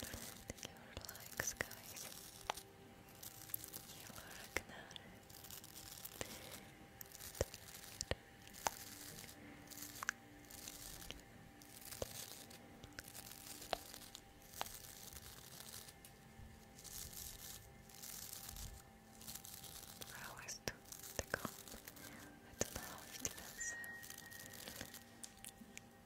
Thank you for likes, guys. You are a canal. I always the comb. I don't know how it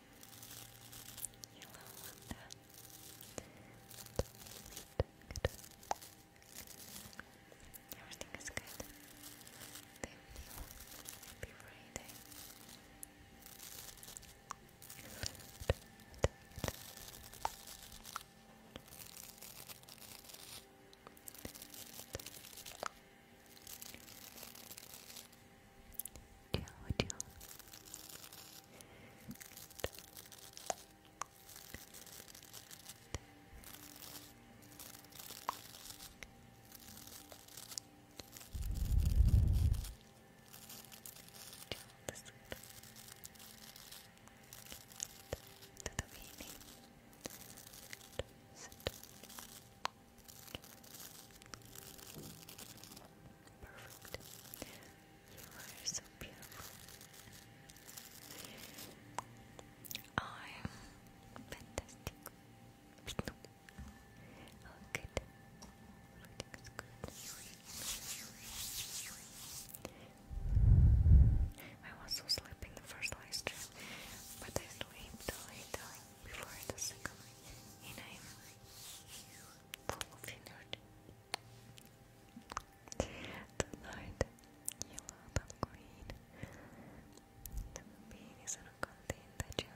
Hello, Linda. Good. Everything is good. Thank you. Happy Friday. Ciao, ciao. Tutto bene? Sento perfect. You are so beautiful. I'm fantastic. Oh, good. Everything's good. I was so sleeping the first live stream, but I slept later before the second, and I'm full of energy. Tonight you are the queen. The bean is not that you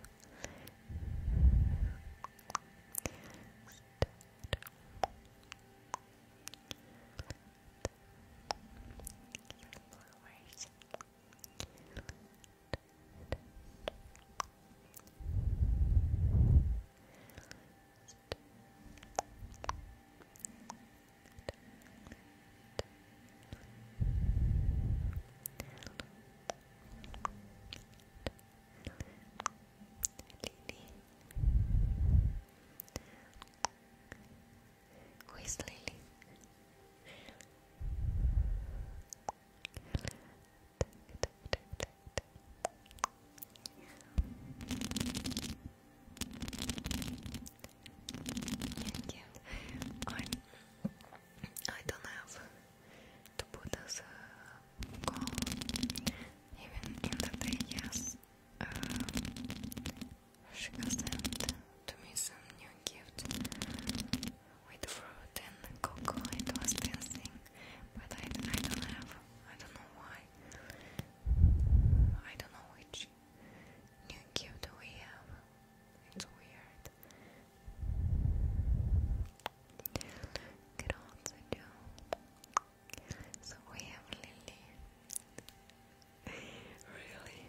who is Lily? Yeah, yeah. I'm, I do not have to put as a goal, even in the yes. Uh, she has sent to me some new gift with fruit and cocoa. It was dancing, but I, I don't have. I don't know why. I don't know which new cue we have. It's weird. Could also do. So we have Lily. really?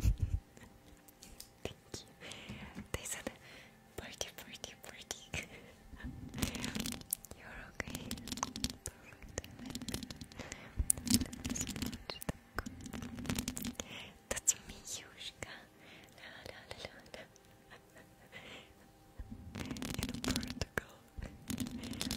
Thank you. They said party, party, party. You're okay. Perfect. That's me, Yushka. La la la la la. In Portugal.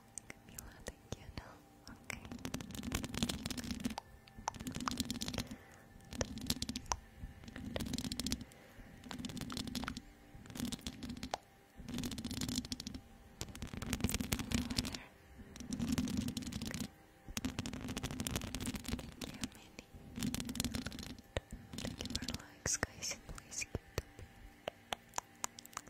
Camila, thank you. No, okay. Thank you, Mandy. Thank you for the likes, guys. Please keep them.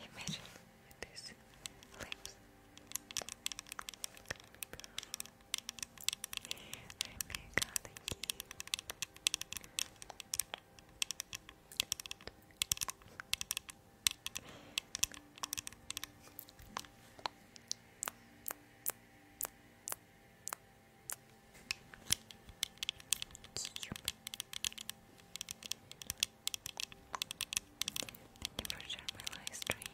Imagine this lips. Let me cut the key. Thank Thank you for sharing my live stream.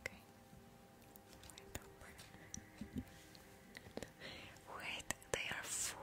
Okay. Wait, they are four.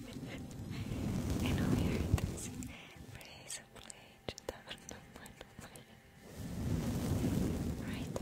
I know you heard this phrase of plage Right?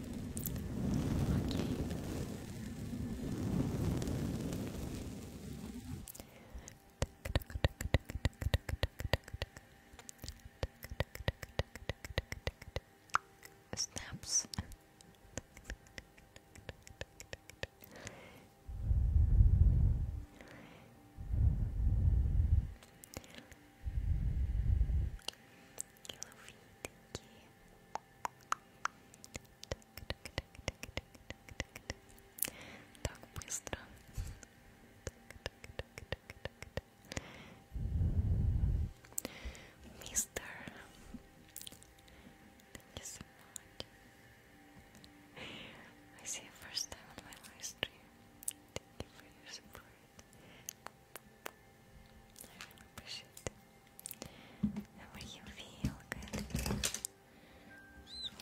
Okay. Snaps. Thank you, Mister, thank you so much. I see you first time on my live Thank you for your support. I really appreciate it. How are you feel? Good. Sorry.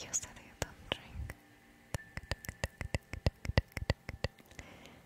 You said you don't drink.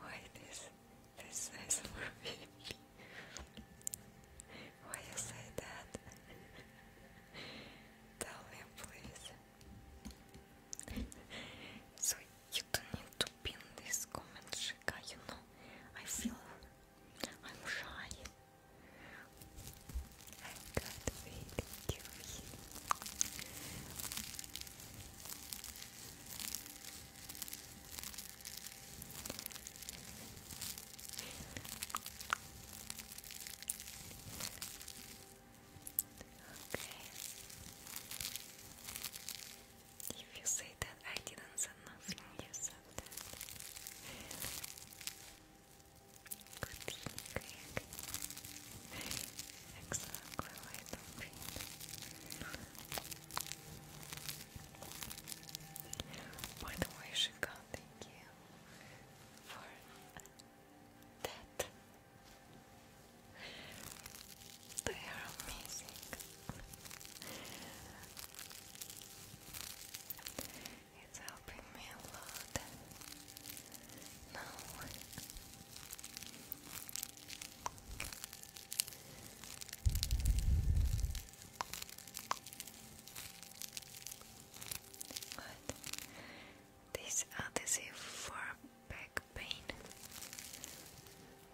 Why this? This is for me. Why you say that? Tell me, please so you don't need to pin this comment, Shika, you know. I feel I'm shy. I can't wait to Okay. If you say that I didn't say nothing, you said that. Good Exactly By the way, Shika, thank you for that they are amazing. It's helping me a lot now. Good. This adhesive for back pain.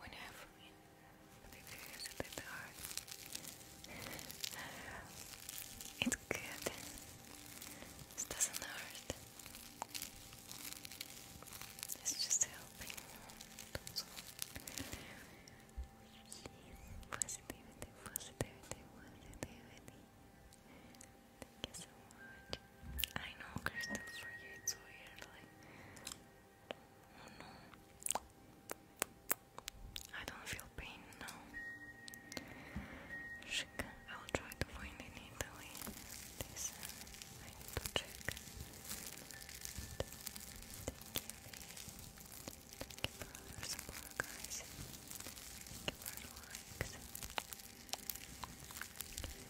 Whenever use it at hard. It's good. It doesn't hurt. It's just helping. Thank you so much. I know, Crystal, for weird. Like, oh no, I don't feel pain now. I will try to find in Italy. I need to check. Thank you for your support, guys. you for the likes.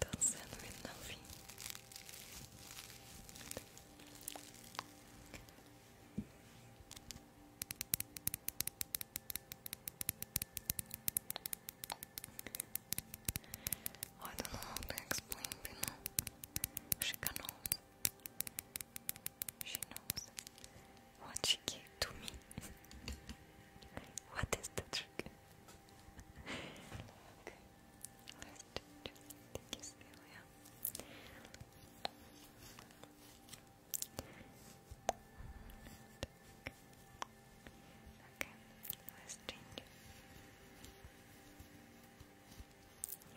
Dançando o novinho. Oh, I don't know how to explain, but no, she can know. She knows. What she gave to me. what is the trick? okay, let's change.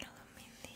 Hello, Mindy.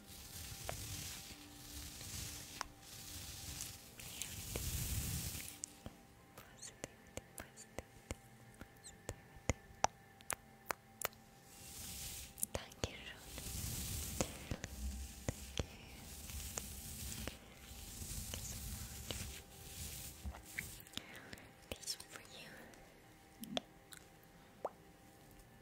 Thank you, Thank you. This is for Thank you.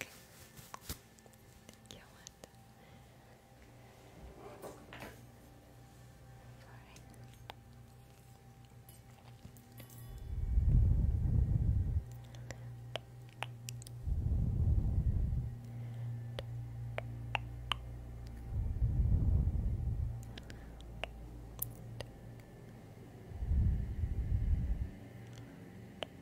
Okay. You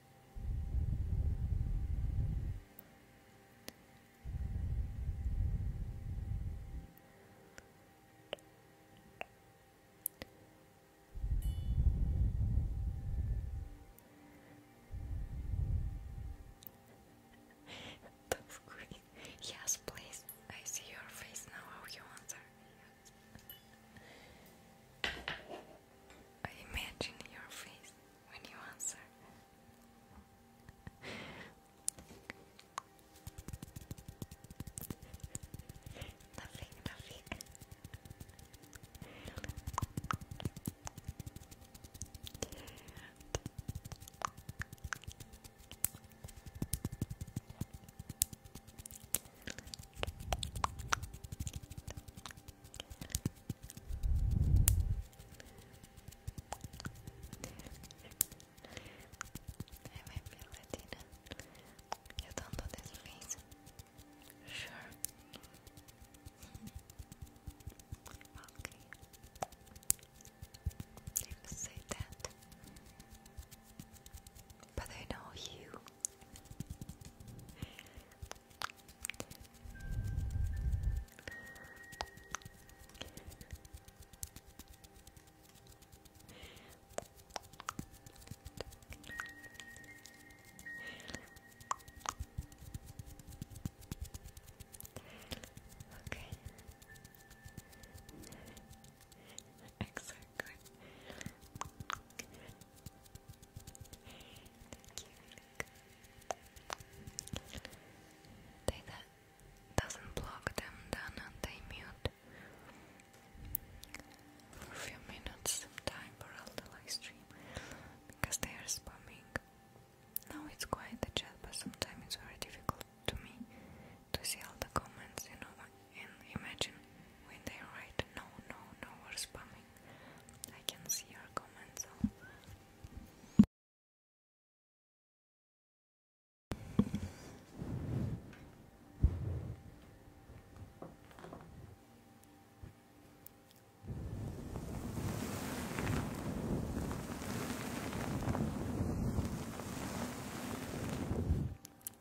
Yes, please. I see your face now. How you answer? I imagine your face when you answer. nothing, nothing. I might be Latina. You don't do Sure. Mm-hmm. okay. If say that. But I know you. Okay. Exactly. They that doesn't block them then they mute for few minutes sometime throughout the live stream because they are spamming. Now it's quiet the chat but sometimes it's very difficult to me to see all the comments, you know, and imagine when they write no, no, no, or spamming. I can see your comments. So.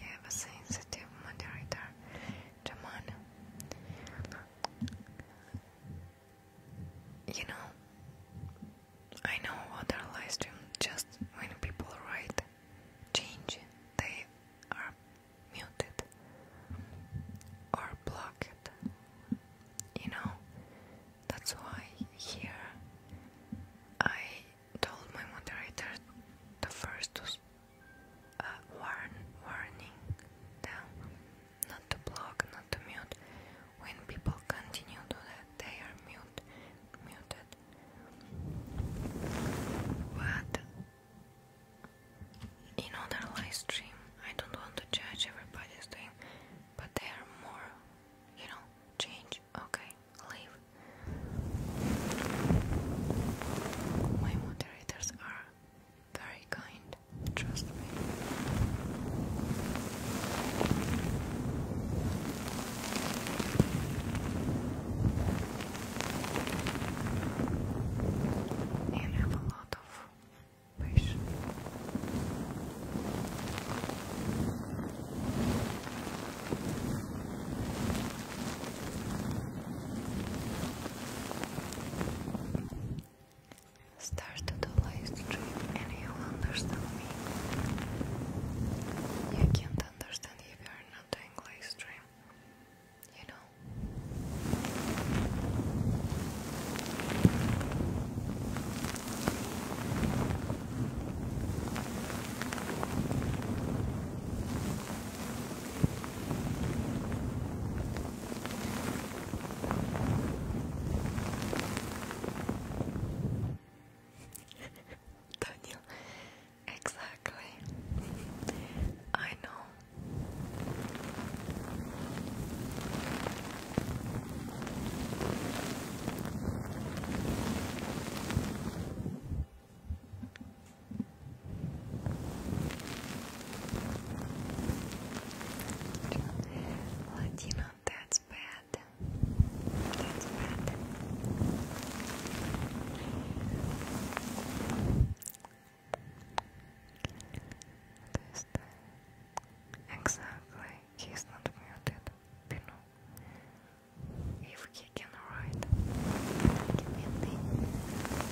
You have a sensitive moderator, Jaman. You know, I know other live just when people write change, they are muted or blocked. You know, that's why here I told my moderator the first to uh, warn, warning not to block, not to mute. When people continue to that, they are mute, muted. But in other live stream, I don't want to judge everybody's doing, but they are more, you know, change. Okay, leave. My moderators are very kind, trust me. And have a lot of patience. Start to the live stream and you understand me. You can't understand if you are not doing live You know do Exactly. I know. Latino, that's bad. That's bad. Exactly, he's not muted, If he can write, give me a thing.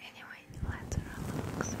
Anyway, let's relax. Okay.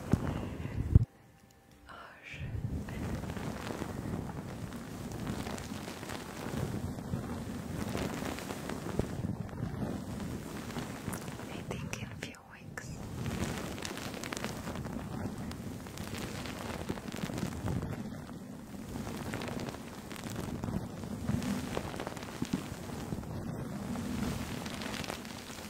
Arsch. I think in a few weeks.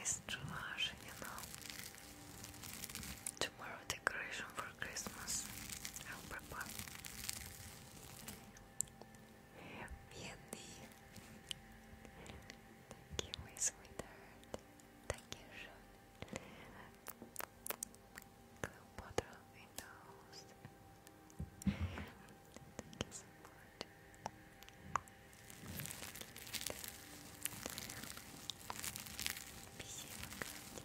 Jest czuła, że nie no. tomorrow decoration for Christmas. I'll prepare. thank you, sweetheart. Thank you, Sean. Thank you so much. Спасибо,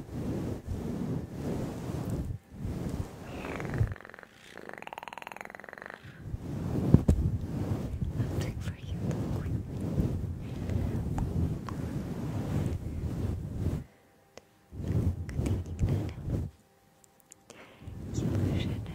I'll take for you quickly. Good evening, Nana.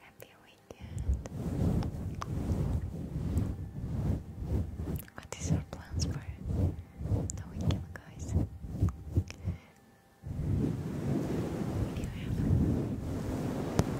Happy weekend. What is your plans for the weekend, guys? you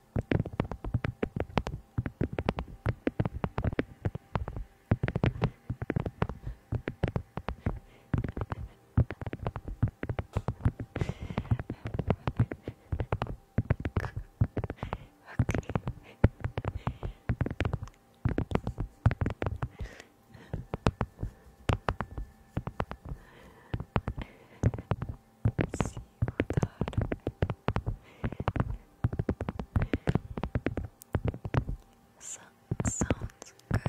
See you, daughter sounds good,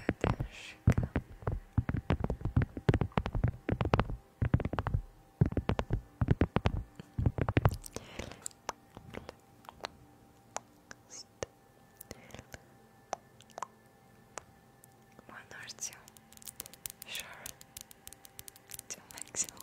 One or two, sure, two maximum.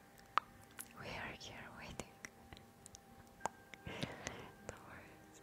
We are here waiting. no worries.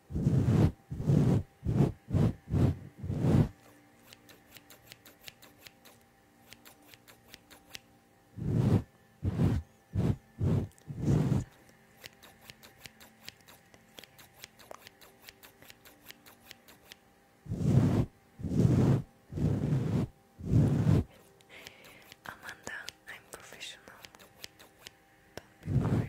Amanda, I'm professional. do Okay.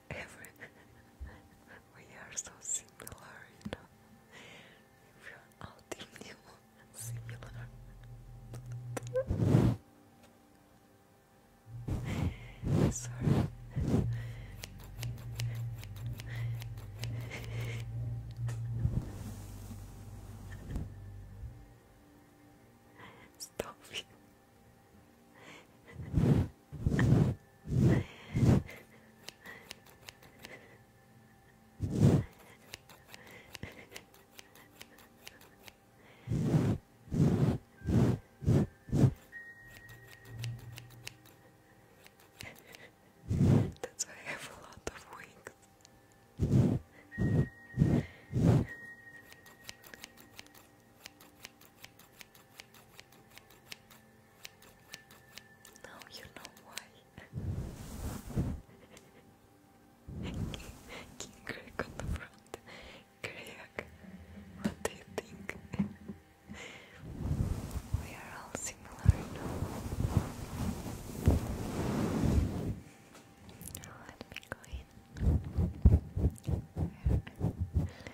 we are so similar, you know. We are all similar. Sorry. Stop it. That's why I have a lot of wings. Now you know why. King Greg on the front. Greg, what do you think? we are all similar now. Let me go in.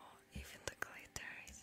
Oh, even the glitters.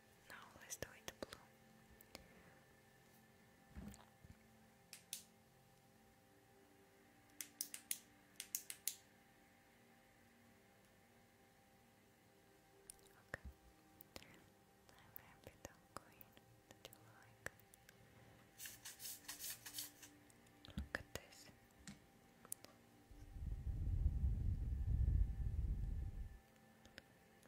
Now let's do it blue. Okay. I'm happy that green that you like. Look at this.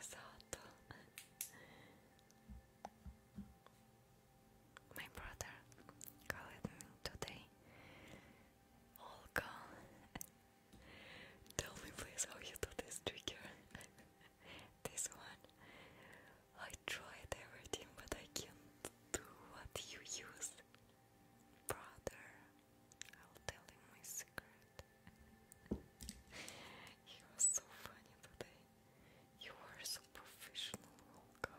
esatto my brother called me today Olga, oh, tell me please how you do this trigger. this one. I tried everything, but I can't do what you use. Brother, I'll tell him my secret. you are so funny today. You are so professional, Olga.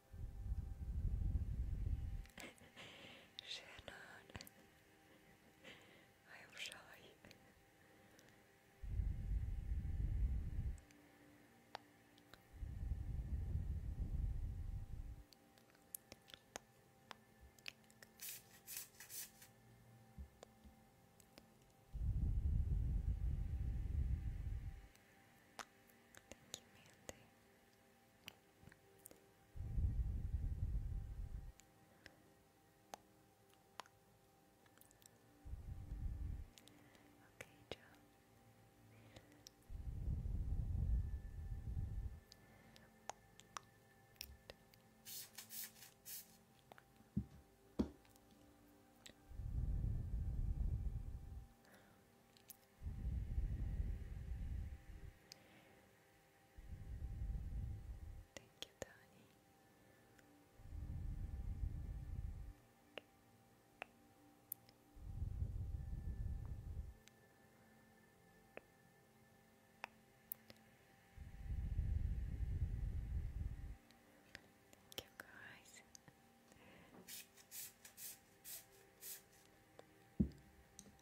Shannon, I am shy. Thank you, Mandy. Okay, Joe. Thank you, Tony. Thank you, guys.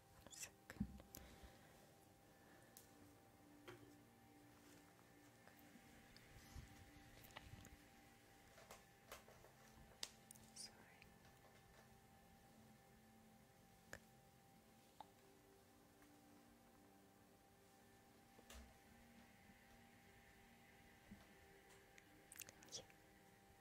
One second. Sorry. Yeah.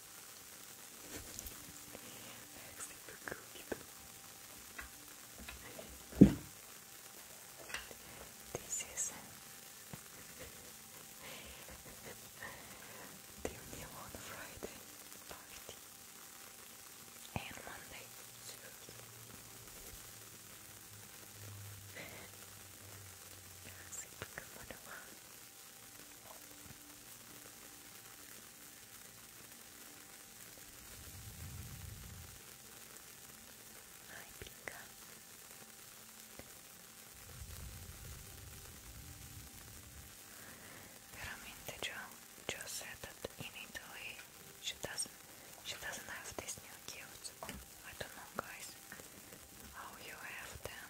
This is the Neon Friday party and Monday too. Hi, Pika. Veramente Jo, jo said that in Italy she doesn't she doesn't have these new gifts. I don't know guys how you have them.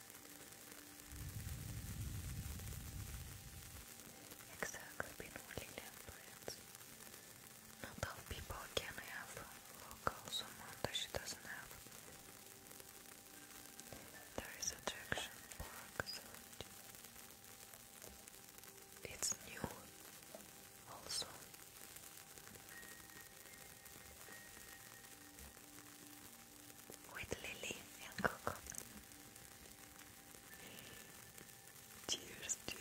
Exactly, been really temperate. Not people can have locals amount that she doesn't have. There is attraction It's new also with Lily and Coco. Cheers, Jimmy.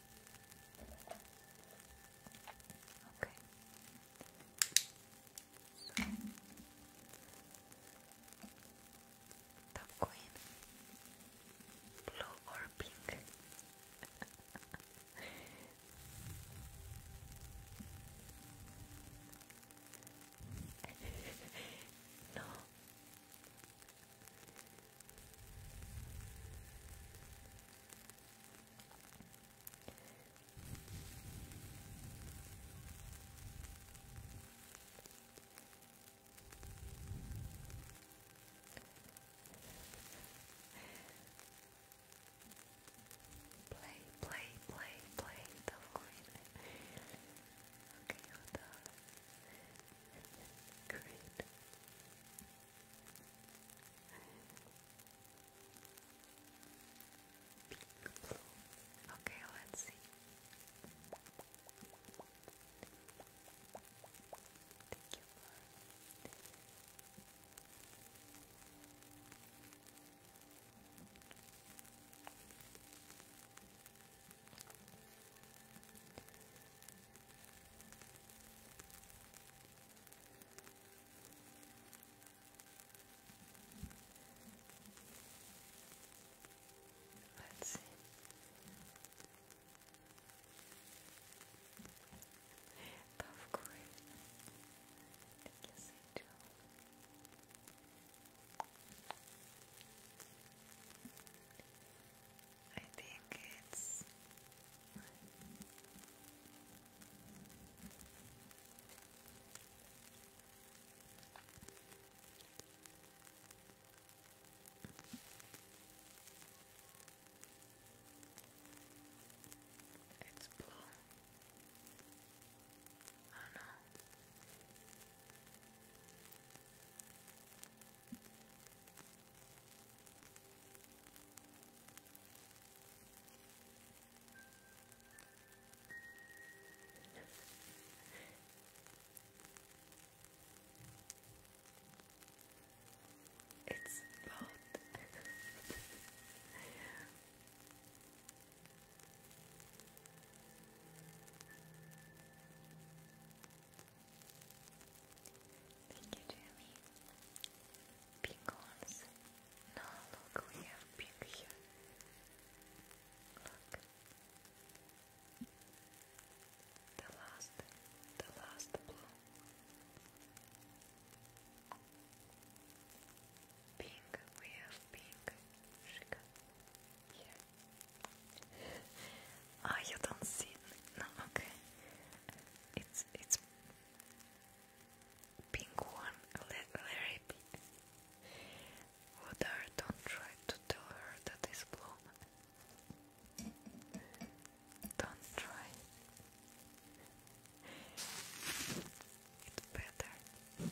Okay. So такой blue or pink. no. Play, play, play, play the line. Okay, hold Great. Okay, let's see. Thank you, Laura. Let's see. Of course, I guess I do. I think it's it's blue. Oh no. It's both. Thank you, Jamie. Pecans. No, look, we have pink Look. The last, the last blue. Pink, we have pink. Here. Ah, you don't see. No, okay. It's it's pink one. Let Larry be. Woodar, don't try to tell her that it's blown. Don't try. It's better. Wait.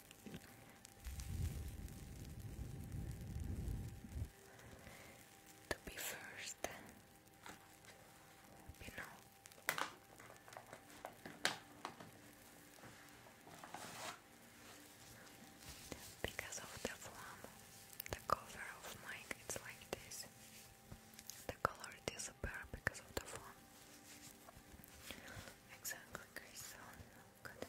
To be first, you know. Because of the flame, the cover of mic it's like this. The color disappears because of the flame. Exactly, Crystal. Good.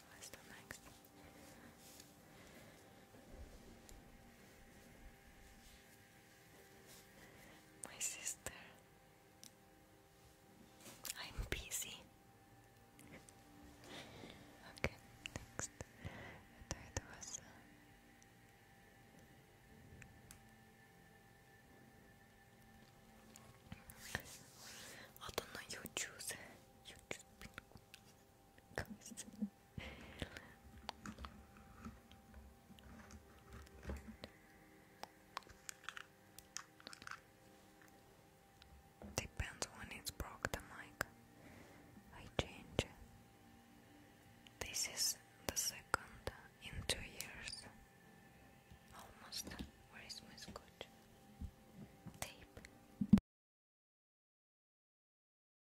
What's the next? Okay. My sister. I'm busy. okay, next. That was. Uh, I don't know. You choose. Depends when it's broke the mic. I change. This is the second in two years. Almost. Where is my scotch? Tape.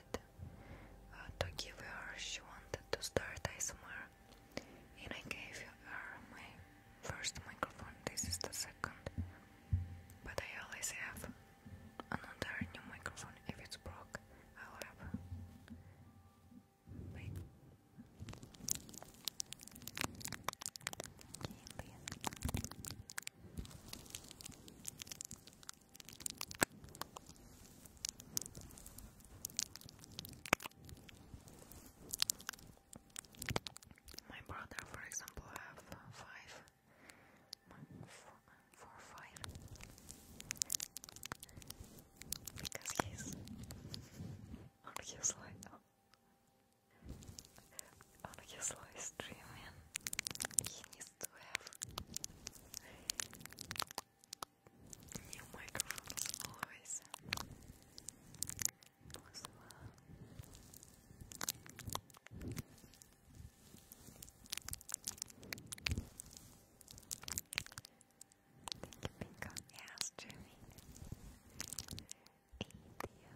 wanted uh, to give her, she wanted to start somewhere, and I gave her my first microphone. This is the second, but I always have another new microphone. If it's broke, I'll have. My brother, for example, have five, four, four five, because he's on his live on his he needs to have new microphones always Thank you, Bingo. Yes, Jimmy. India.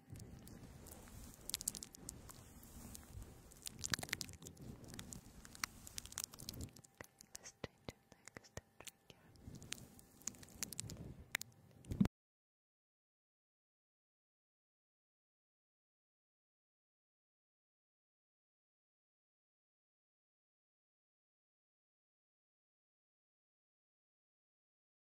Let's change your next trigger.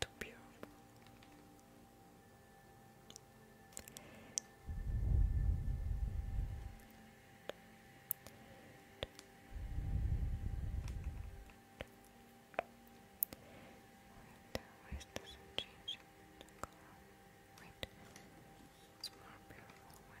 Too beautiful. Wait, always doesn't change Wait, it's more beautiful one.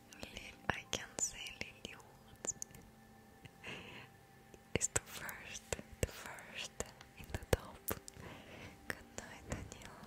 Lil I can not say Lily Woods is the first, the first in the top. Good night, Daniel.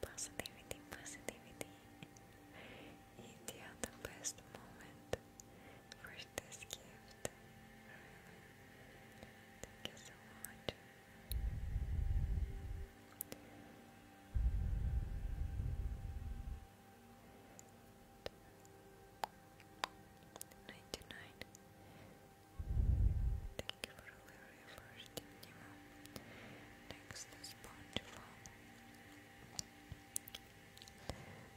Positivity, positivity. best moment for this gift. Thank you so much. Ninety nine. Thank you for the very first Nemo. Next is SpongeBob.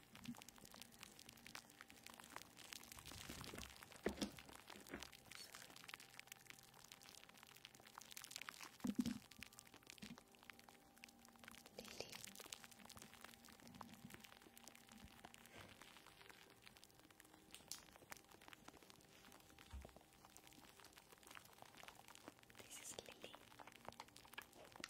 This is Lily.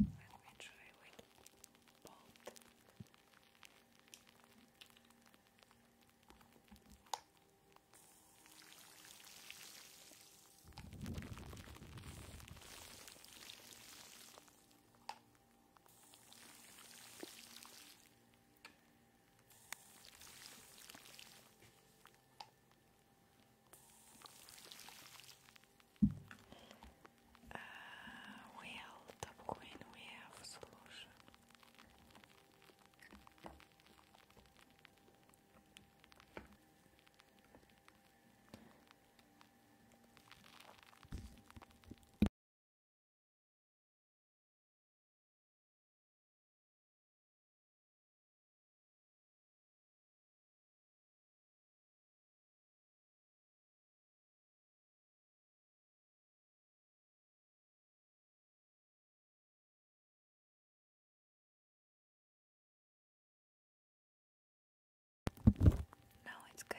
Let me try with both. Okay. Uh, well, Queen, have solution. No, it's good.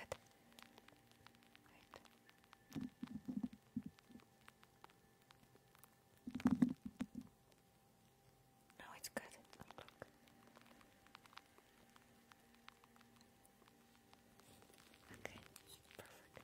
No, it's good. Oh, look. Okay, perfect.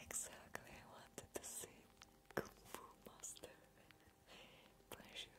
Exactly, I wanted to see Kung Fu Master. Pleasure.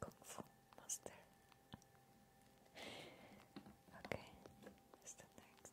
Kung Fu Master. okay, what's the next?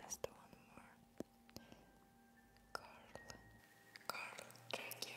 Let's do one more. Carl, Carl Dragier.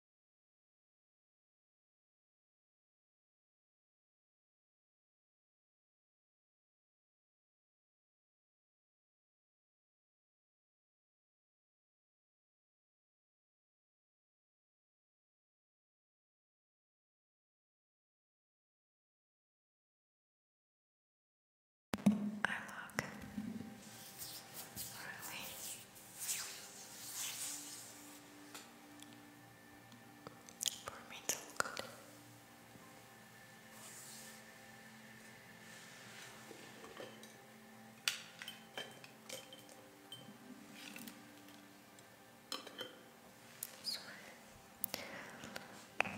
I look really for me to look. Sorry. Curious.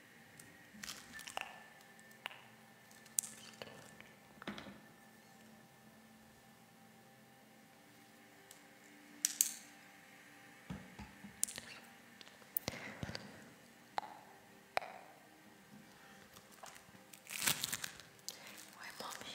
Why, mommy?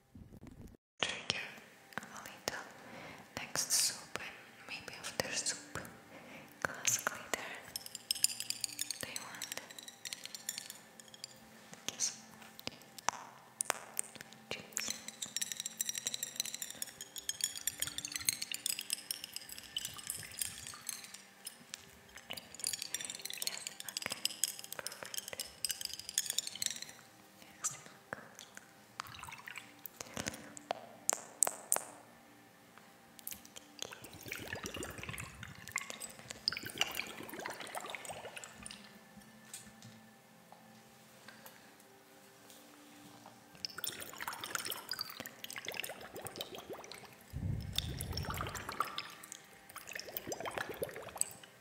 trigger a little next soup and maybe after soup glass glitter they want yes. Chips. Chips. Yes, okay. Perfect. Yes, okay. Thank you.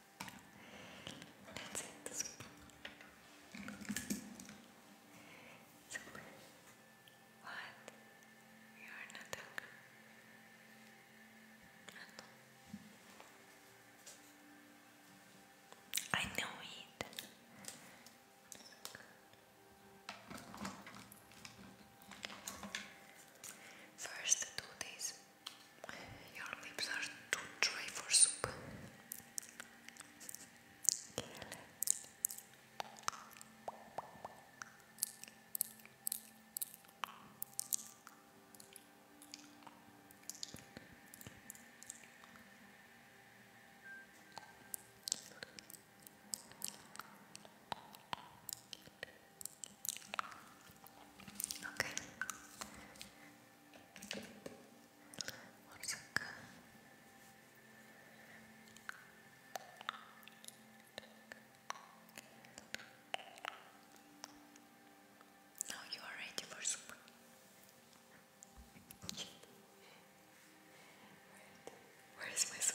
Let's eat What? You are not hungry. I know it. First, do this. Your lips are too dry for soup. Okay, one Now you are ready for soup. Where is my soup?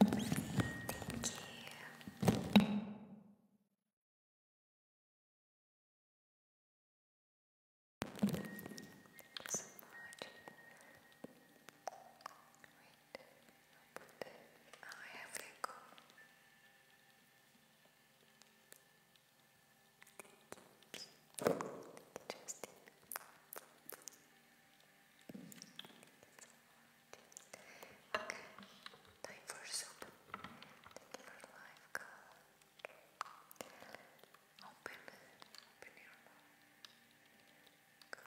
Thank you. Thank you so much. Wait, i I have to go. Justin. Okay, time for soup. Thank you for life, girl. Open, open your mouth. Good.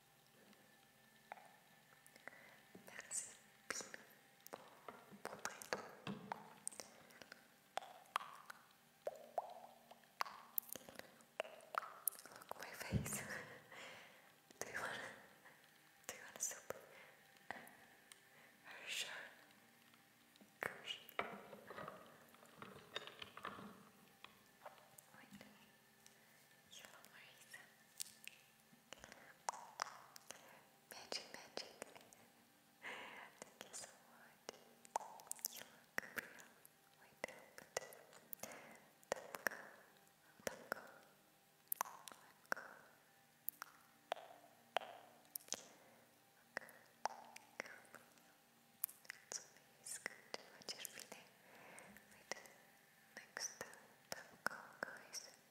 That's Look my face. do you wanna do you wanna Are you sure? Gosh. Wait. Hello Marisa. Magic, magic. Thank you so much. You look real. Wait, but don't go. Don't go. Let go. Look, come. It's always good what you're feeling. Wait, next time, do go, guys.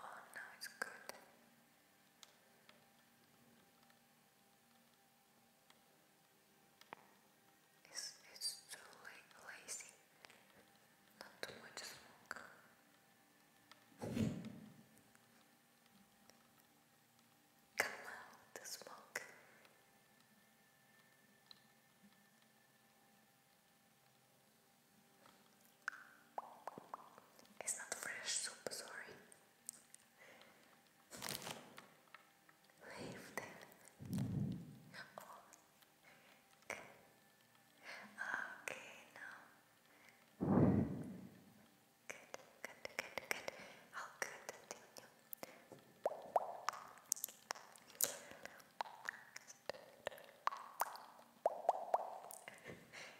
Oh, now it's good. It's, it's too la lazy. Not too much smoke. Come out the smoke. It's not fresh soup, sorry. Leave them. Okay. okay, now. Good, good, good, good. How good do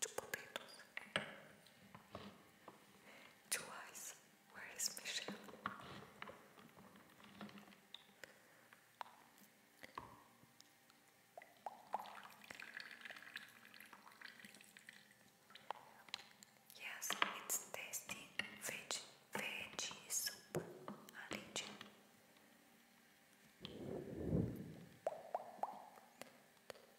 two potatoes. Two eyes. Where is Michel? Yes, it's tasty veggie, veggie soup, Alice.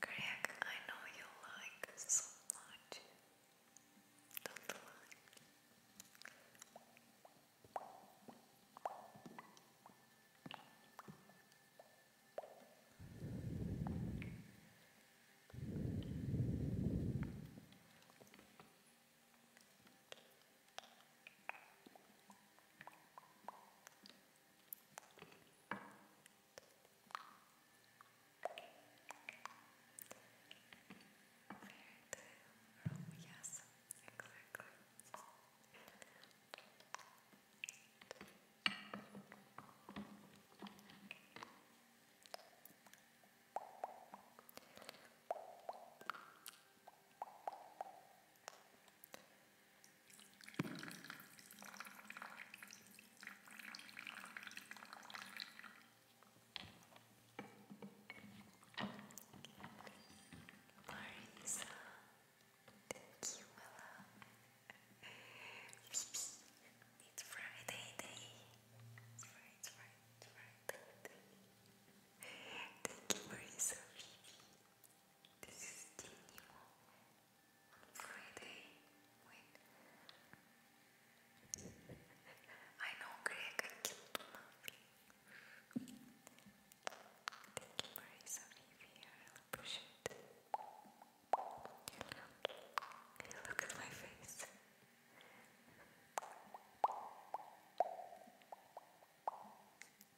Greg, I know you like so much room, yes, exactly. Perfect. Marisa, thank you, it's Friday day. It's Friday, Friday, Friday day. Thank you, Marisa. This is Dinimo on Friday. Wait. I know Greg, I killed Thank you for some review, I'll push it. Look at my face.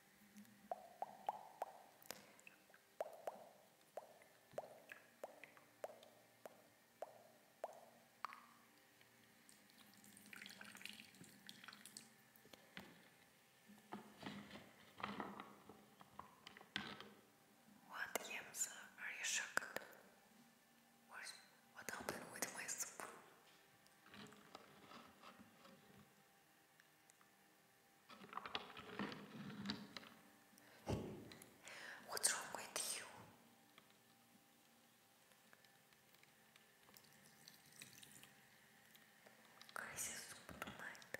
What, Yemsa? Are you shocked? What, what happened with my soup? What's wrong with you? Crazy soup tonight.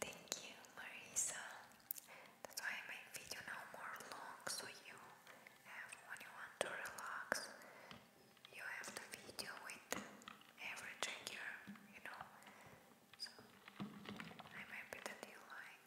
Thank you, Marisa. That's why I video now more long, so you have when you want to relax, you have the video with every trigger, you know. So I'm happy that you like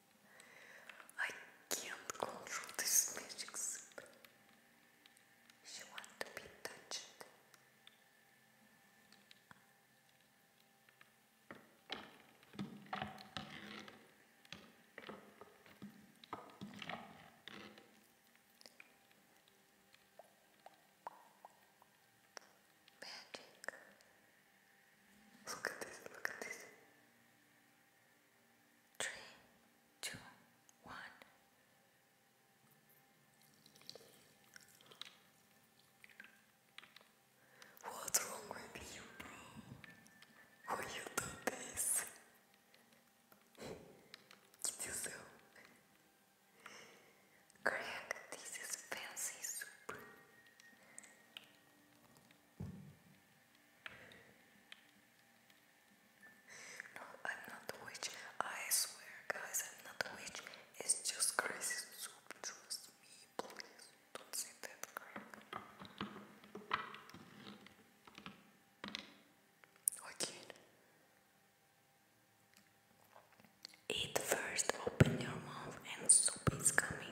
I can't control this magic She wants to be touched. Magic. Look at this, look at this three, two, one. What's wrong with you, bro? Why you do this? Get yourself. Greg, this is fancy no, I'm not a witch. I swear, guys, I'm not a witch. It's just crazy soup. Trust me, please. Don't say that Okay. Eat first, open your mouth, and soup is coming.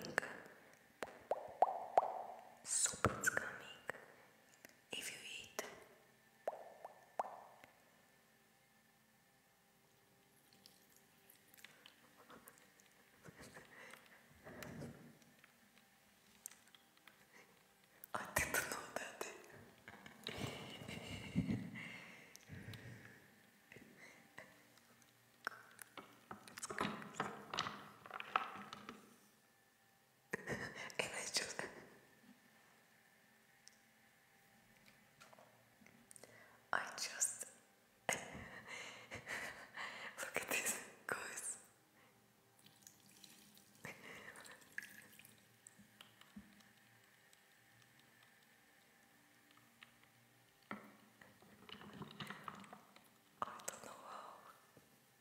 Soup is coming if you eat. I didn't know that and I just I just look at this guys I don't know how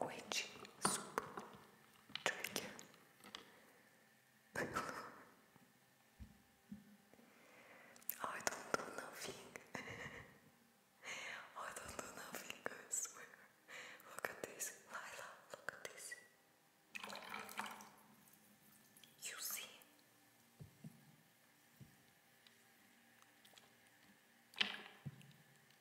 which soup trigger I don't do nothing I don't do nothing, look at this, Lila, look at this you see?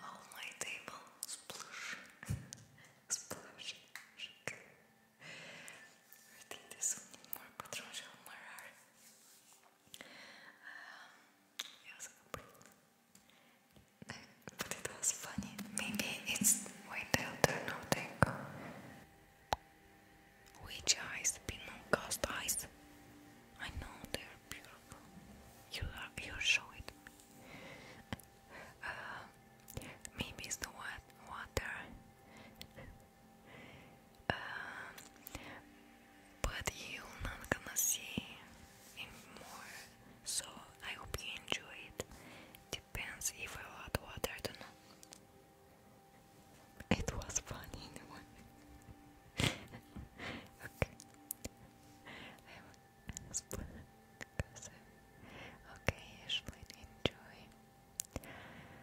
Oh my table, splash, splash, I think there's more patrons on my it was complete. but it was funny. Maybe it's. Wait, I'll turn the Which eyes? Pinot Ghost eyes? I know they're beautiful. You are, you show it. Uh, maybe it's the wet water. Uh, but you're not gonna see anymore. So I hope you enjoy it. Depends if I add water, I not It was funny okay. I'm Okay, Ashley, enjoy.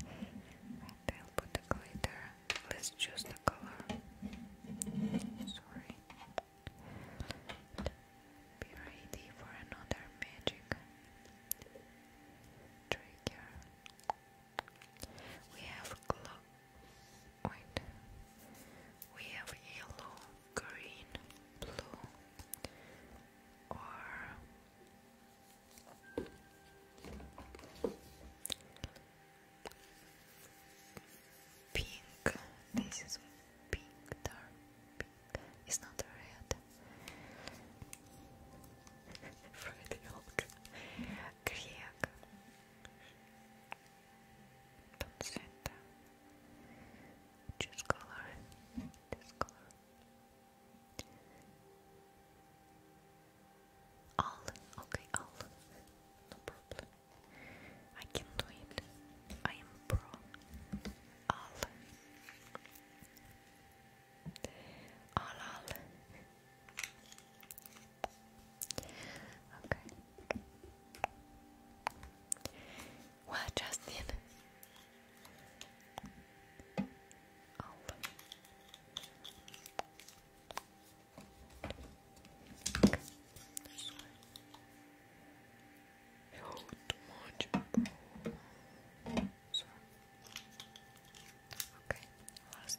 I'll put the glitter. Let's choose the color. Sorry. ready for another magic trigger. We have glow. Wait. We have yellow, green, blue, or Pink. This is pink, dark pink. It's not red. Red yolk. Greg. Don't say that. Choose color. Choose color. All, okay, all, no problem. I can do it. I am pro. All, all, all. Okay. What, Justin? Oh. This much. Okay, last.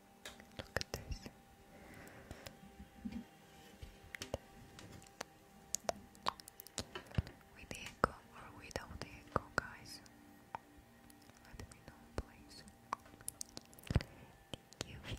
With the echo or without the echo, guys? Let me know, please. Thank you.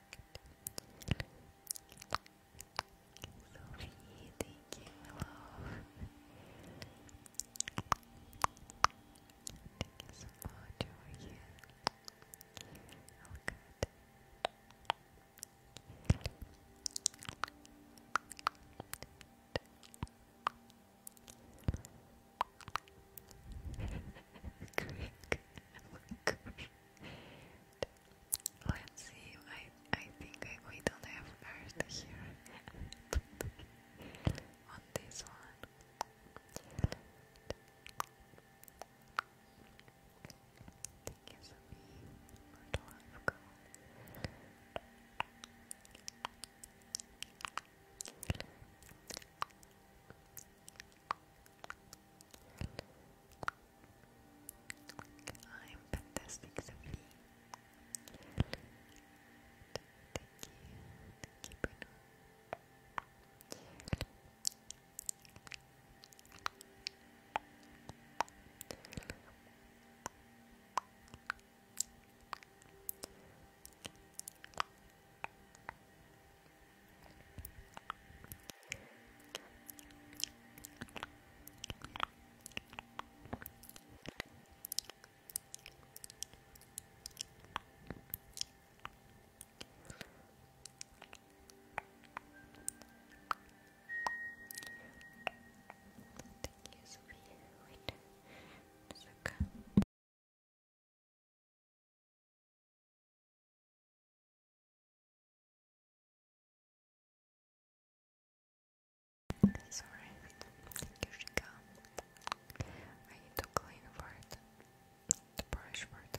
Sophie, thank you, hello. Thank you so much, how good. Thank you, Let's see. I I think we don't have Earth here on this one. Thank you I'm fantastic, Sophie. Thank you, Thank you, Sophia. Wait, it's okay. It's alright. Here she I need to clean for it. brush for the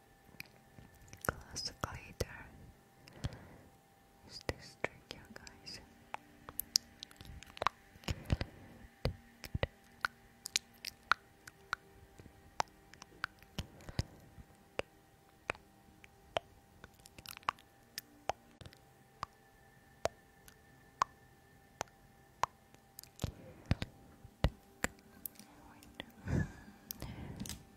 Classic leader. Is this tricky, guys?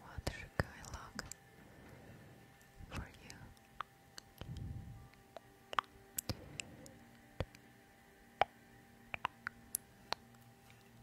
What should I look for you?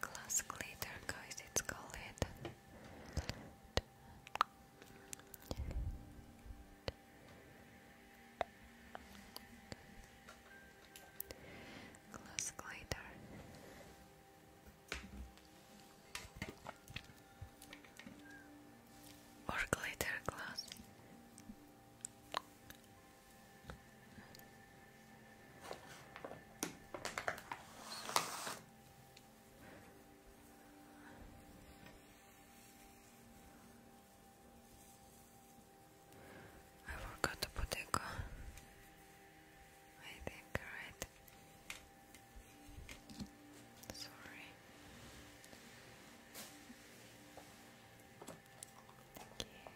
Classically turquoise, it's called it. Glass glider or glitter glass. I forgot to put echo. I think, right? Sorry. Thank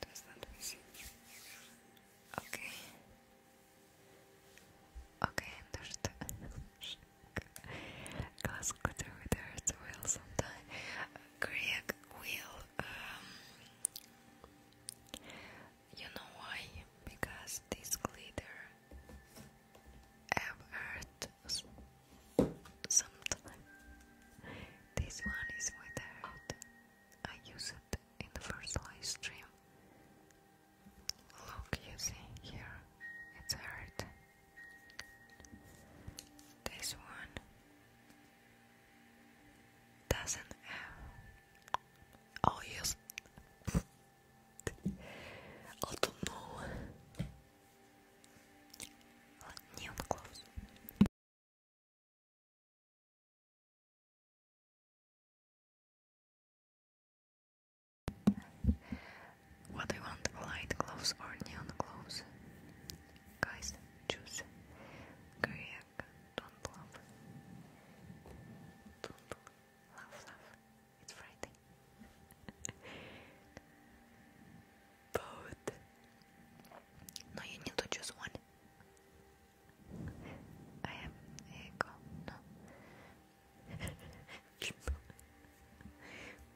does that see? Okay. Okay, understood. Glass glitter with as well sometime. Greg will, um, you know why? Because this glitter I've heard sometime. This one is without. I use it in the first live stream. Look, you see here, it's hurt. This one doesn't have. Oh yes, I don't know. Let me what do want? Light gloves or neon gloves? Guys, choose. Greg, don't love. Don't love, love. It's Friday. Both. No, you need to choose one. I am ego. No.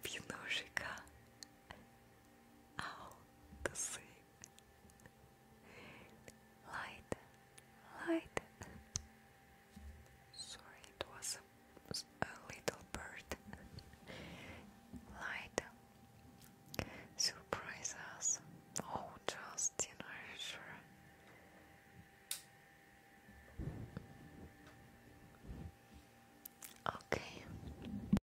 Пиножика. out to sleep. Light, light. Sorry, it was a, little bird. light. Surprise Oh, just you know, sure. Okay.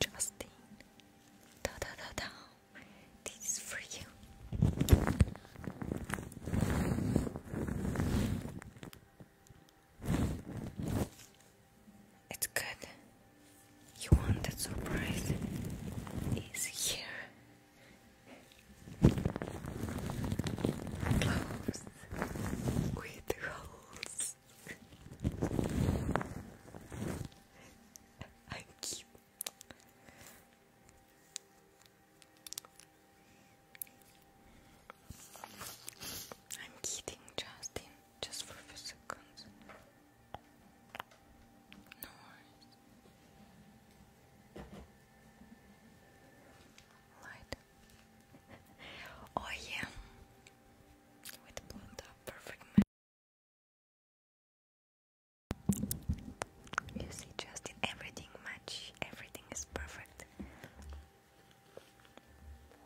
Justine, da da da da, this is for you. It's good. You want that surprise? Is here. Clothes with holes. I'm cute. I'm kidding, Justin, just for a few seconds. No oh yeah. With blue perfect You see, Justin, everything match. Everything is perfect.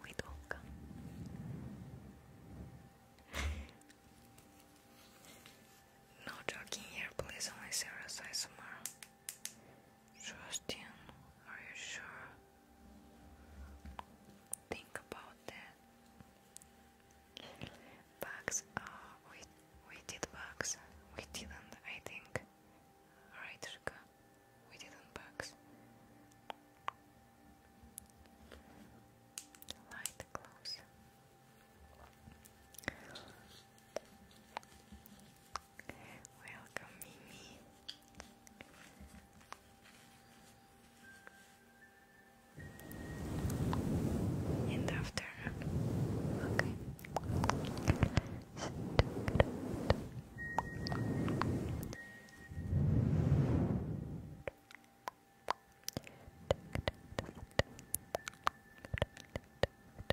With Olga. No joking here, please, only serious ISMR. Justin, are you sure? Think about that. Bugs, uh, we, we did bugs. We didn't, I think. Right, Rika? We didn't bugs. Light close. Welcome, Mimi. In the afternoon. Okay.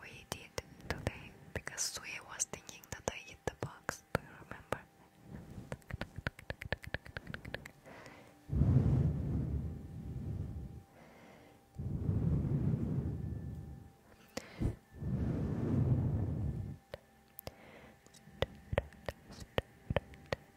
We did because Sue was thinking that I hit the box. Do you remember?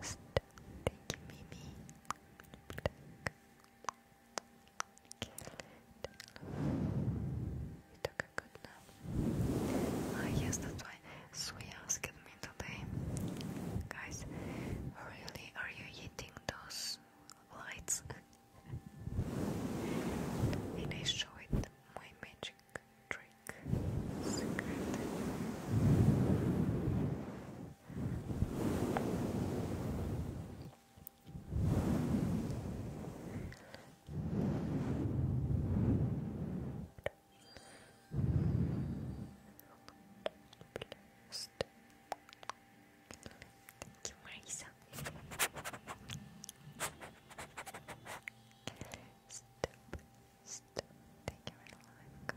Just thank you, Mimi. You yes, that's why Sui asked me today. Guys, really, are you eating those lights? and I showed my magic trick Thank you, Marisa. Stop, stop, take your life, go.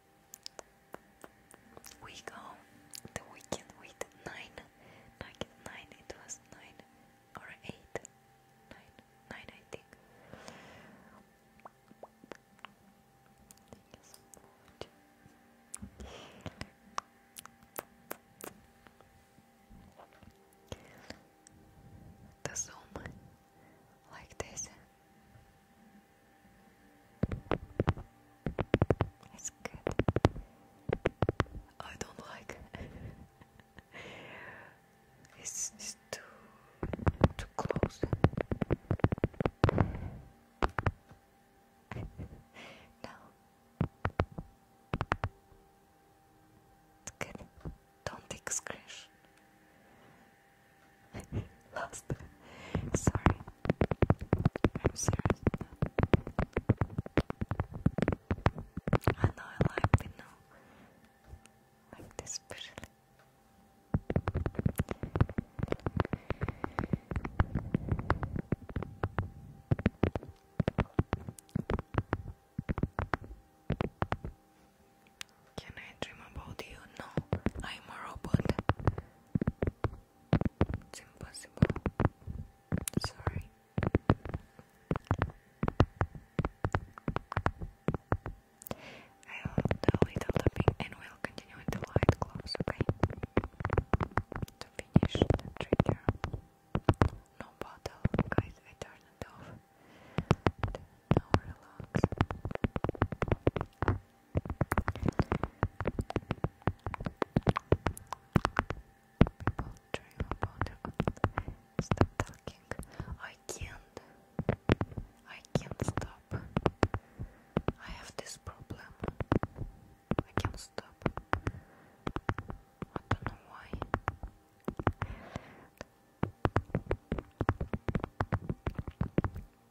We go the weekend with nine, like nine. It was nine or eight, nine, nine, I think. The Zoom like this. It's good. I don't like it's, it's too too close. no. It's good. Don't take scratch. Lost. Sorry. I'm serious. I know I like the no. Like this especially. Can I dream about you? No, I'm a robot. It's impossible. Sorry. I will a little tapping and we'll continue the light gloves, okay? To finish the No bottle, guys, I turn it off. Now relax. People dream about it. Stop talking. I can't. I can't stop. I have this problem. I can't stop. I don't know why.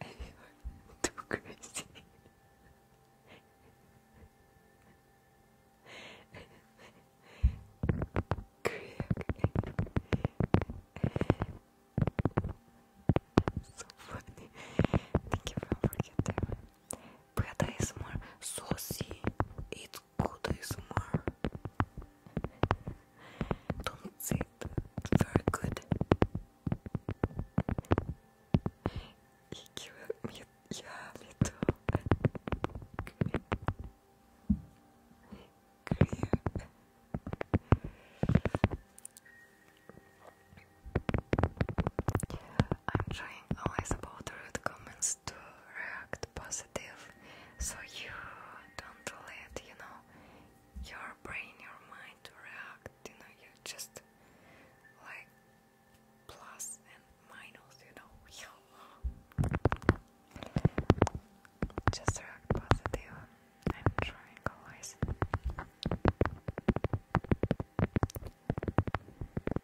you're too crazy. so funny. Thank you for forgetting. But is more saucy. It's good is more. Don't say that. Very good. 息はみやめとくれくれや I'm trying always about rude comments to react positive so you don't let, you know, your brain, your mind to react you know, you just like plus and minus, you know, just react positive and triangulate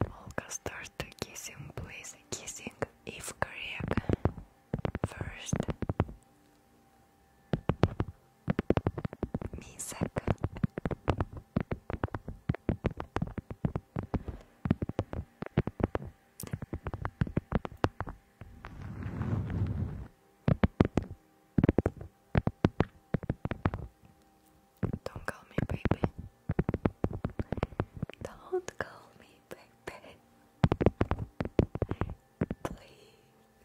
Olga started kissing, please, kissing if correct first music. Don't call me baby. Don't call me baby. Please.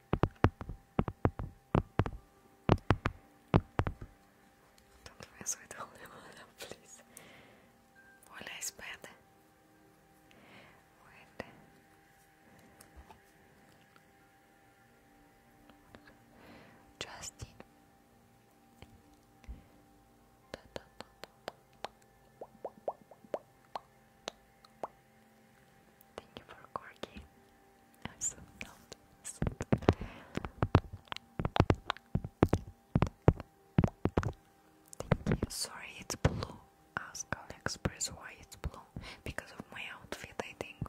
Don't mess with Holy Mother, please. Hola bad. Justin. Thank you for corking. Sorry, it's blue. Ask AliExpress why it's blue. Because of my outfit, I think.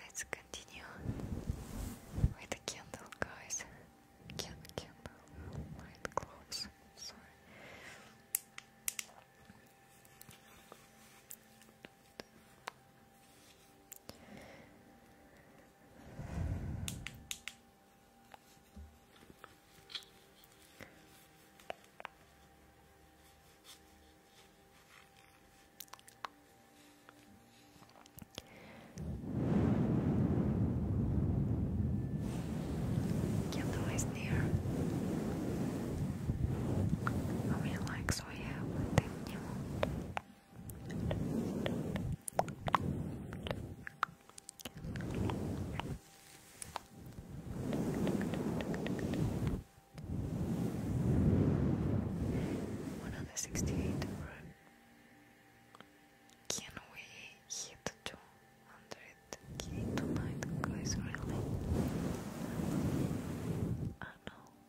Let's continue with the candle, guys. Candle, candle, light close. Sorry. Yellow is near. How many likes we have? I think one hundred sixty-eight run. Can we hit two hundred k tonight, guys? Really? I know. Thank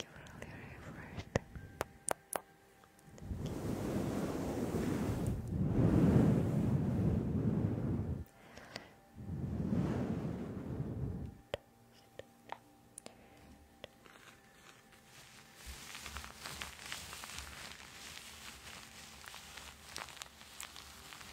you for all your effort. Thank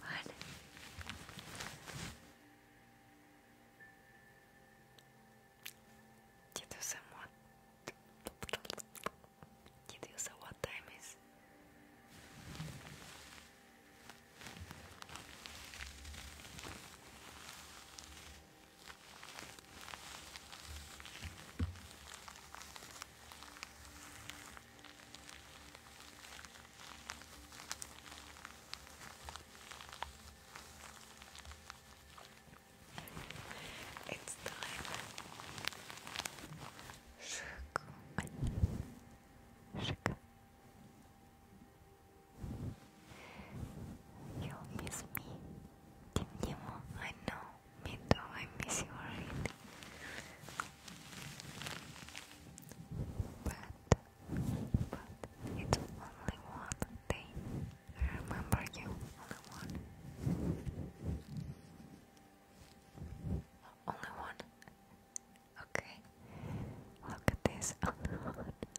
What? You do some what? You do what time is? It's time. Circle. Circle. You'll miss me. Tim Nemo, I know. Me too, I miss you already. But, but it's only one day. I remember you, only one. Only one? Okay. Look at this,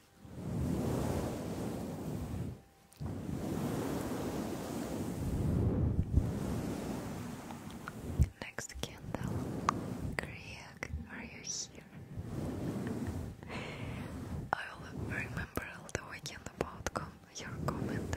Next candle. Greg, are you here? I will remember all the weekend about your comment.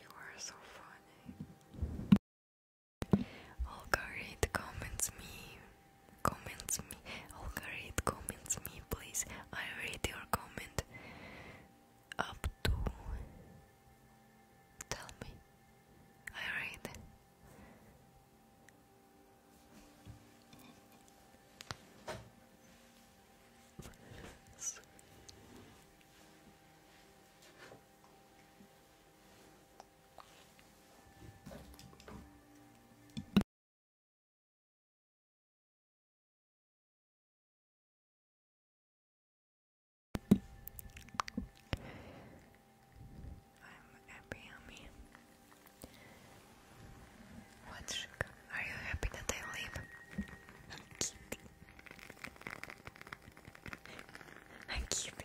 You are so funny. Olga read comments me comments me. oh great comments me, please. I read your comment up to. Tell me. I read happy, yummy. What, sugar? Are you happy that I leave? Kitty. Hi, kitty.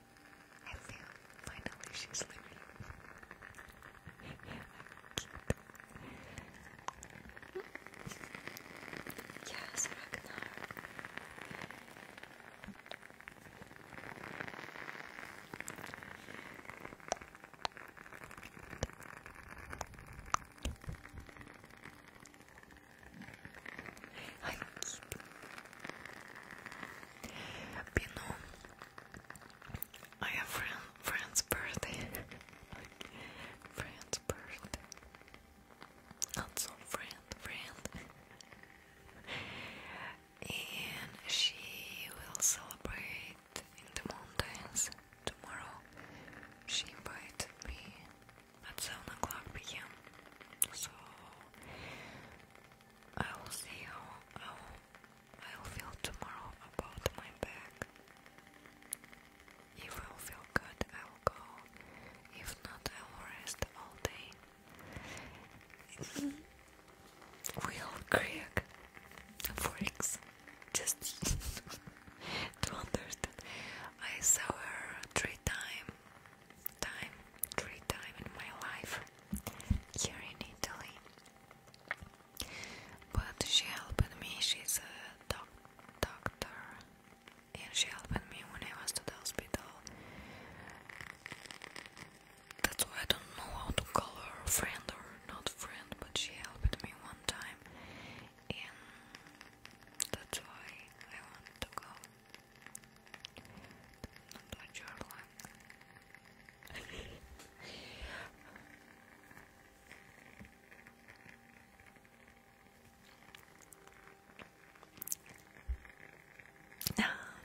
I feel finally she's leaving. yes, Ragnar. Хакит. Бино. I have friend, friend's birthday. friend's birthday. Not so friend, friend. and she will celebrate in the mountains tomorrow. She invited me at 7 o'clock pm. So I will see how, how I will feel tomorrow about my back. If I feel good, I will go. If not, I will rest all day. Will Craig freaks just to understand. I saw her three times time, three time in my life here in Italy. But she helped me, she's a doc doctor, and she helped me when I was to the hospital. That's why I don't know how to call her friend or not friend, but she helped me one time, and that's why I want to go not your luck.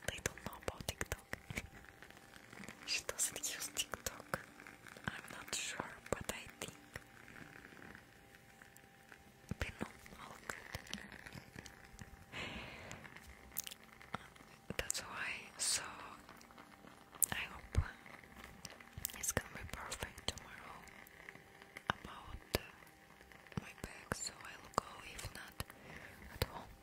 they don't know about TikTok. she doesn't use TikTok. I'm not sure, but I think Oh, uh, that's why so I hope uh, it's gonna be perfect tomorrow about uh, my bag so I'll go if not at home.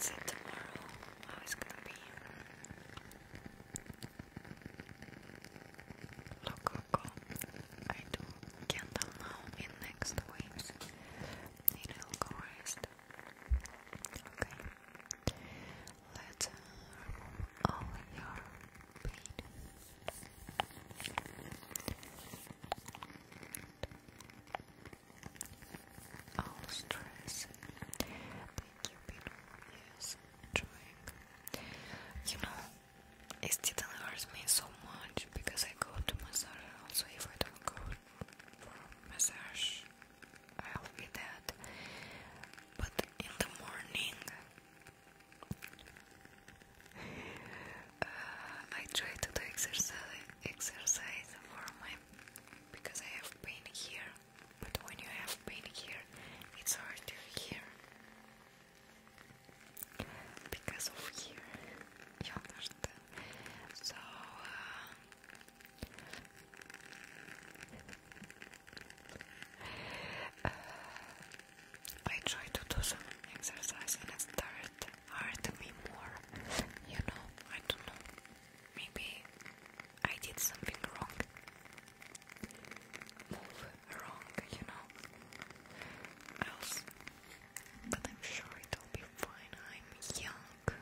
That's all. tomorrow how it's gonna be. Lococo. I do candle now in next waves. It will Okay. Let's uh, remove all your pain. All stress. Thank you, beautiful. You know, it didn't hurt me so much because I go to massage. Also, if I don't go for massage, I'll be dead. But in the morning, uh, I try to do exercise for my because I have pain here but when you have been here, it's hard to hear because of here. You understand? So. Uh, uh, I try to do some exercise and it started me more. You know, I don't know. Maybe I did something wrong move wrong, you know. Else, but I'm sure it'll be fine. I'm young.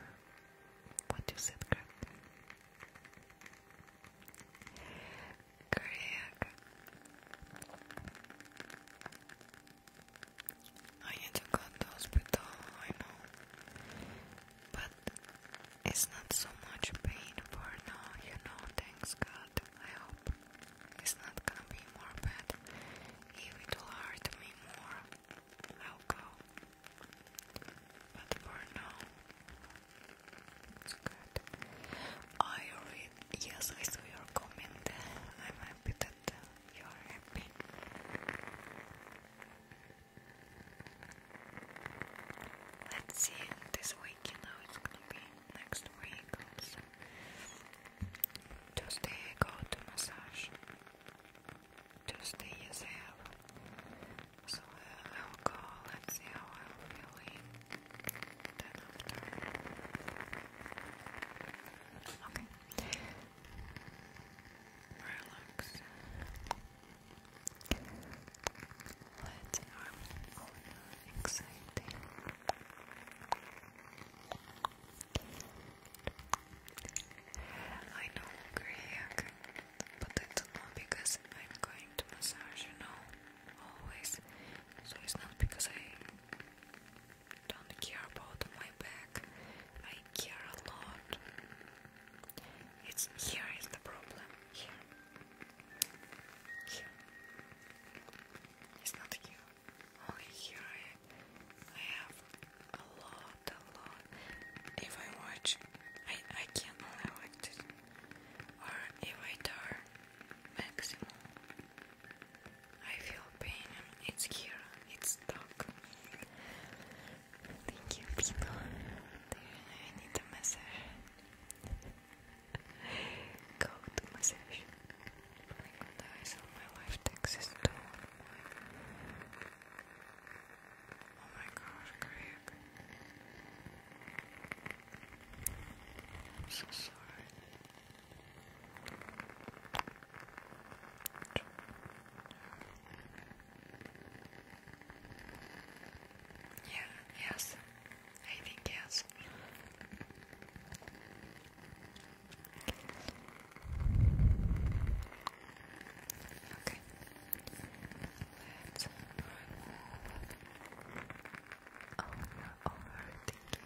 What you said, Greg? Greg, I need to go to hospital. I know, but it's not so much pain for now, you know, thanks God. I hope it's not gonna be more bad. it will hurt me more, I'll go. But for now, it's good. I read, yes, I saw your comment. I'm happy that you're happy. Let's see this week, you know, it's gonna be next week Tuesday go to massage. Tuesday is there. So uh, I'll go, let see how I'm feeling. Then after. Okay. Relax. What are all the exciting? I know Greg, but I not because I'm going to massage, you know, always. So it's not because I don't care about my back. I care a lot. It's here is the problem. Here. It's not here. Only here I, have a lot, a lot. If I watch, I, I can't allow it. Or if I turn maximum, I feel pain. It's here. It's stuck. Thank you, people. Do need a massage? Go to massage. Blink on the my life takes Oh my gosh, Greg. I'm so sorry. Yeah, yes. I think yes. Okay. Let's remove all overthinking.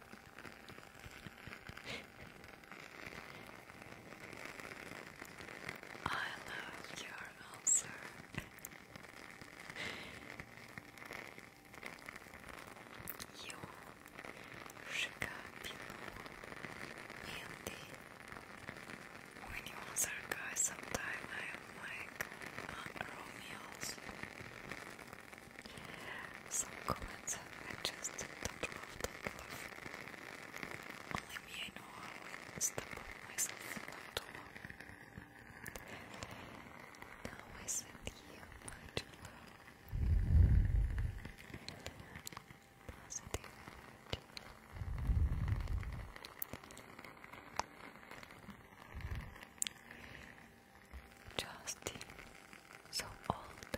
I love your answer. you shook people mainly when you answer guys sometimes I like uh, Romeo's some comments have adjusted the top of the bluff. Only me know how I stumbled myself not alone. Now I send you much love. Positive energy. Justin, so old.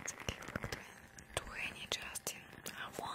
It's okay, 20, Justin, I want.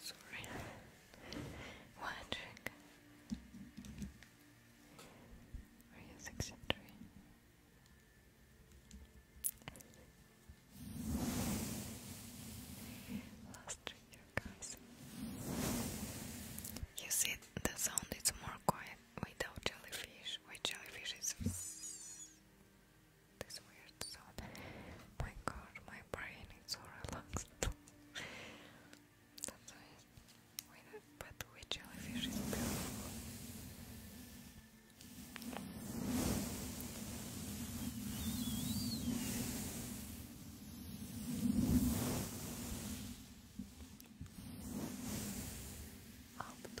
Sorry. One trick. Are six and three? Last trigger, guys. You see, the sound is more quiet without jellyfish. With jellyfish, this weird sound. My god, my brain is so relaxed. That's why. But jellyfish is beautiful? Up. Up.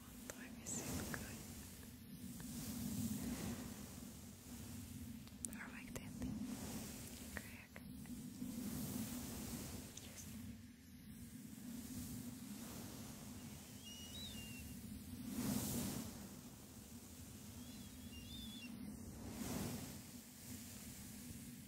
One time you good. Perfect ending. Correct. Yes. Perfect.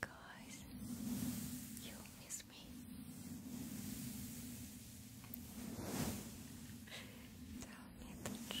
Guys, you miss me. Tell me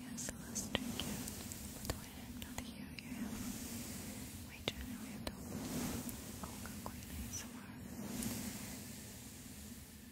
Yes, Lester, yeah. But why not you? You have my channel, you have to. Oh, go quickly somewhere.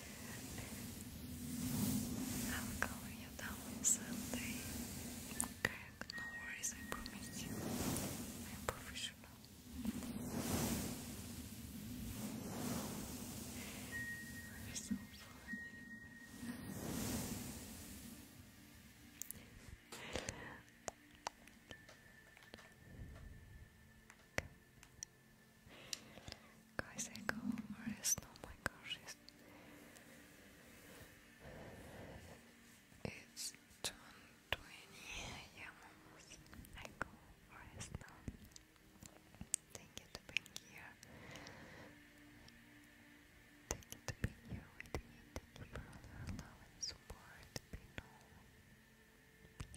I will call you down on Okay, no worries, I promise I'm professional. you so funny. Guys, I go rest. Oh my gosh, it's, it's 20 I go rest Thank you to being here. Thank you to being here with me. Thank you for all your love and support. Be no,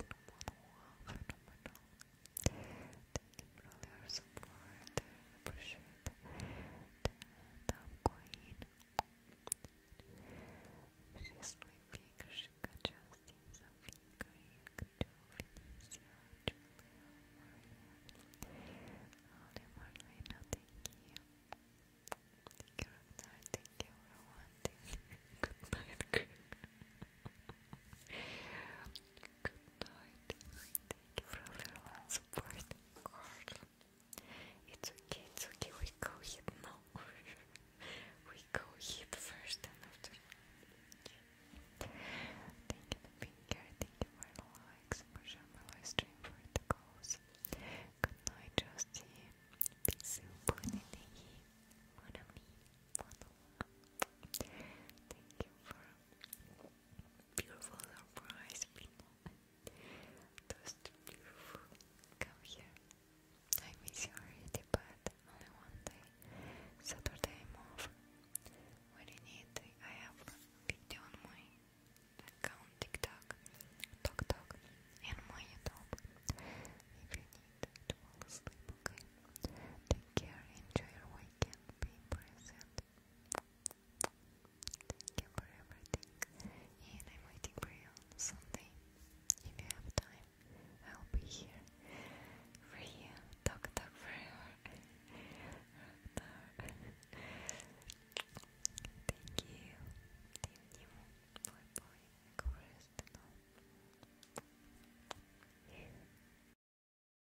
be no one phenomenal. Thank you for your support. appreciate it. And I'm going. She's sleeping. She could just see something going to Felicia, Julia, Maria. Oliver, I know. Thank you. Thank you, Thank you for Good night, Good night. Thank you for everyone supporting Carl. It's okay, it's okay, we go hit now. we go hit first and after. Thank you for thank you for the likes, for my live stream for the goals. Good night, Justy. Be soon, Bonnie. One of me, one of Thank you for beautiful surprise, Just beautiful. Come here. I miss you already, but only one day. Saturday I'm off. When you need, I have video on my account TikTok, TokTok, and my YouTube. If you need to fall asleep, Take care, enjoy your weekend, be present. Thank you for everything, and I'm waiting for you on If you have time, I'll be here for you. Talk, talk forever. Thank you. Thank you. Boy, boy, coolest and